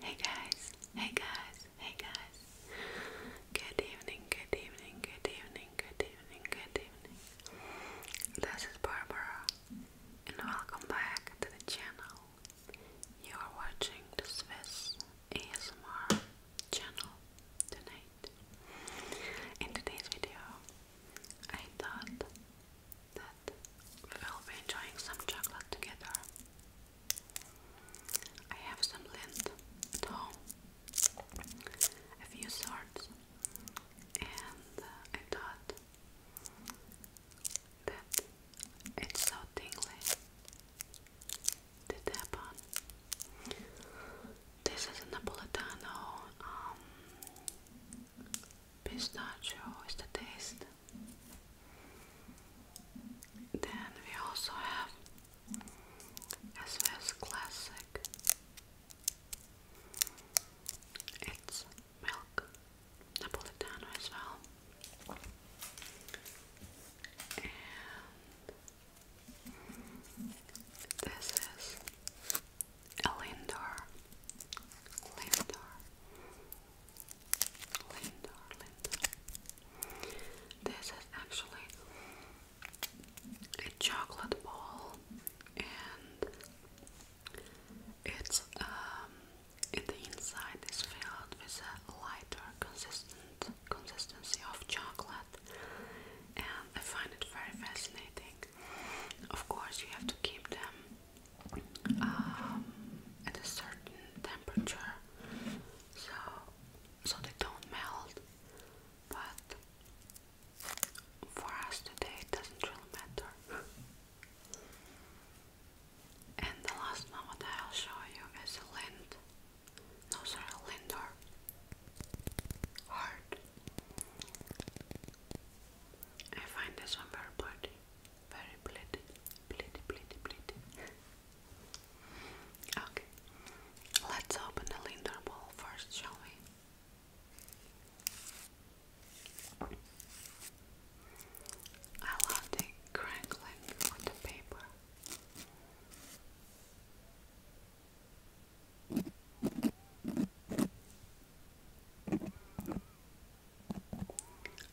Hey guys, hey guys, hey guys. Good evening, good evening, good evening, good evening, good evening. This is Barbara, and welcome back to the channel. You are watching the Swiss ASMR channel tonight. In today's video, I thought that we will be enjoying some chocolate together. I have some lint at home, a few sorts, and uh, I thought that it's so tingly to tap on. This is a Napolitano um, Pistachio is the taste. Then we also have SS Classic. It's milk Napolitano as well. And this is Lindor, Lindor, Lindor, Lindor. This is actually a chocolate ball, and it's um, in the inside is filled with a lighter consistent consistency of chocolate, and I find it very fascinating. Of course, you have to keep them um, at a certain temperature so so they don't melt but for us today it doesn't really matter and the last one that I'll show you is lind no sorry lindor heart I find this one very pretty, very pretty, pretty, pretty, pretty. okay, let's open the Lindor ball first, shall we? I love the crackling on the paper.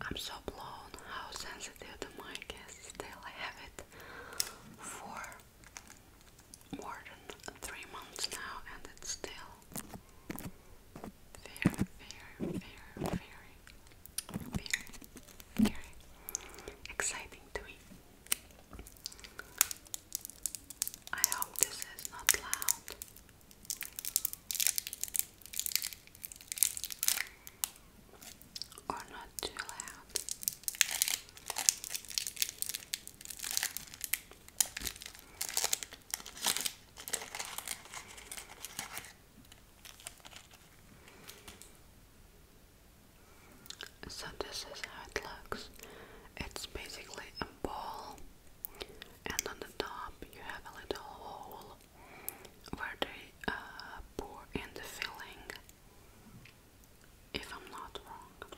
I'm so blown how sensitive the mic is. Still, have it for more than three months now, and it's still very, very, very, very exciting to me. I hope this is not loud. Or not too loud. So, this is how it looks. It's basically a ball and on the top you have a little hole where they uh, pour in the filling, if I'm not wrong.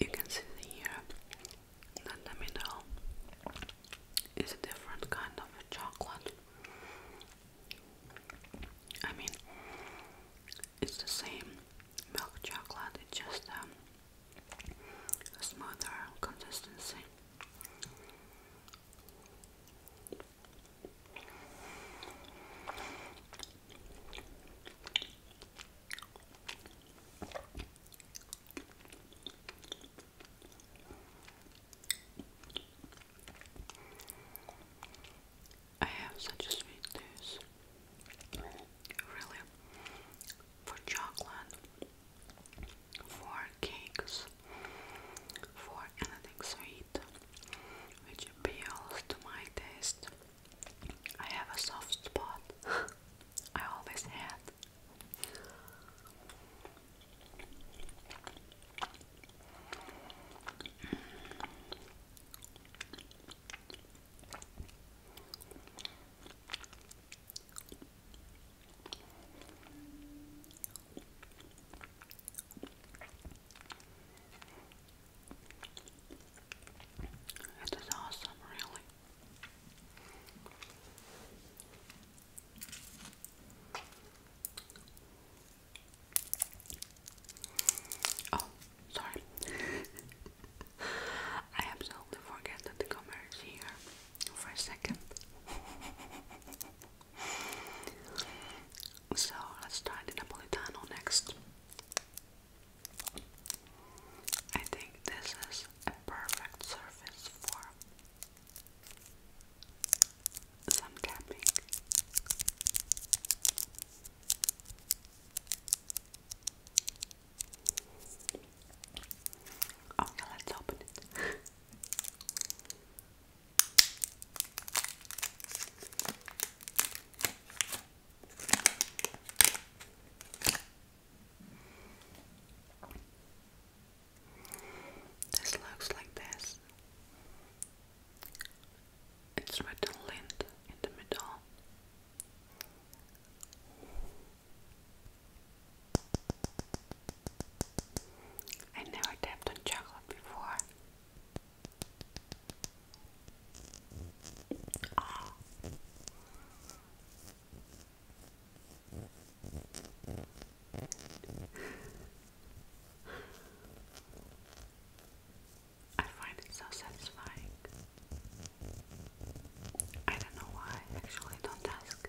You can see here uh, that the middle is a different kind of chocolate. I mean, it's the same milk chocolate, it's just um, a smoother consistency. I have such a sweet taste, really, for chocolate, for cakes, for anything sweet, which appeals to my taste. I have a soft spot. I always had. This awesome, really. Oh, sorry. I absolutely forget that the camera is here for a second. so let's try the Napolitano next. I think this is a perfect surface for some tapping. Okay, let's open it. This looks like this. It's written Lind in the middle. I never tapped on chocolate before. Oh. I find it so satisfying. I don't know why, actually, don't ask.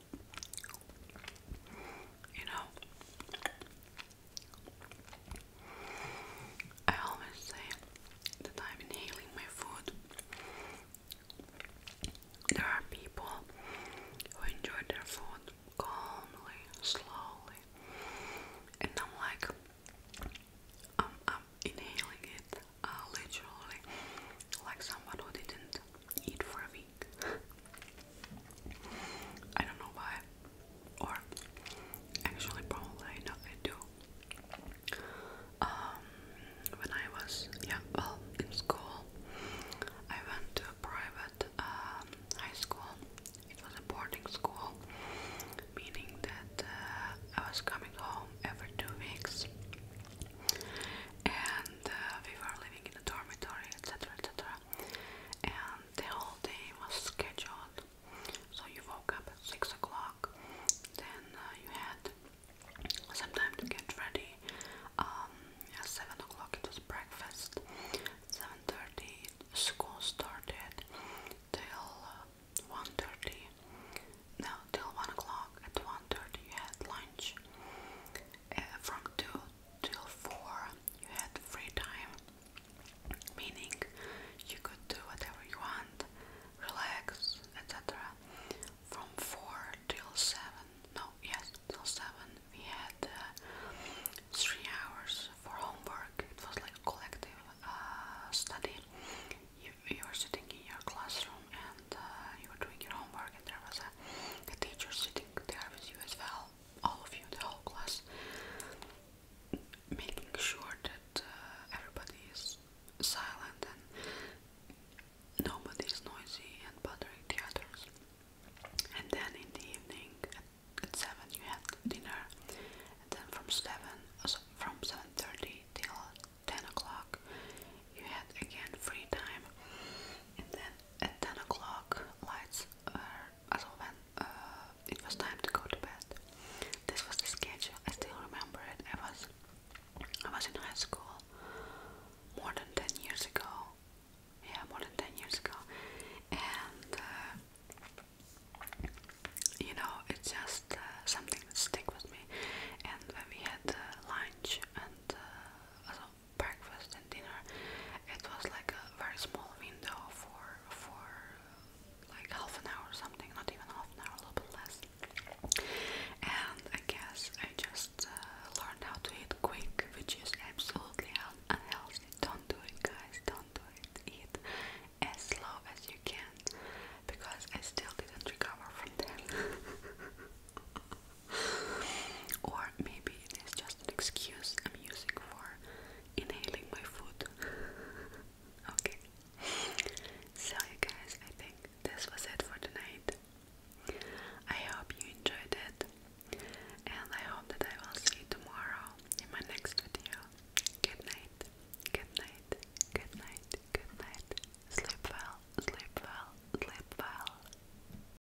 You know, I always say that I'm inhaling my food. There are people who enjoy their food calmly, slowly, and I'm like, I'm, I'm inhaling it uh, literally like someone who didn't eat for a week. I don't know why, or actually, probably I I do. Um, when I was yeah, well, in school, I went to a private um, high school. It was a boarding school, meaning that uh, I was coming home every two weeks, and uh, we were living in a dormitory, etc., etc. And the whole day was scheduled. So you woke up at six o'clock, then uh, you had some time to get ready. Um, at seven o'clock it was breakfast. Seven thirty school started till uh, one thirty. No, till one o'clock. At one thirty you had lunch. Uh, from two till 4 you had free time, meaning you could do whatever you want, relax, etc. From 4 till 7, no, yes, till 7 we had uh, 3 hours for homework, it was like collective uh, study. You, you were sitting in your classroom and uh, you were doing your homework, and there was the teacher sitting there with you as well, all of you, in the whole class, making sure that uh, everybody is silent and nobody is noisy and bothering the others. And then in the evening at, seven you have dinner, and then from seven, so from seven thirty till ten o'clock, you had again free time, and then at 10 o'clock lights were as when uh, it was time to go to bed. This was the schedule. I still remember it. I was I was in high school more than 10 years ago. Yeah, more than 10 years ago. And uh, you know, it's just uh, something that stick with me. And when we had lunch and uh, breakfast and dinner. It was like a very small window for for like half an hour or something, not even half an hour, a little less. And I guess I just uh, learned how to eat quick, which is absolutely unhealthy. Don't do it, guys. Don't do it. Eat as slow as you can, because I still didn't recover from that. or maybe it is just an excuse I'm using for inhaling my food. okay. So, guys, I think this was it for tonight. I hope you enjoyed it, and I hope that I will see you tomorrow in my next video. Good night, good night, good night, good night. Sleep well, sleep well, sleep well.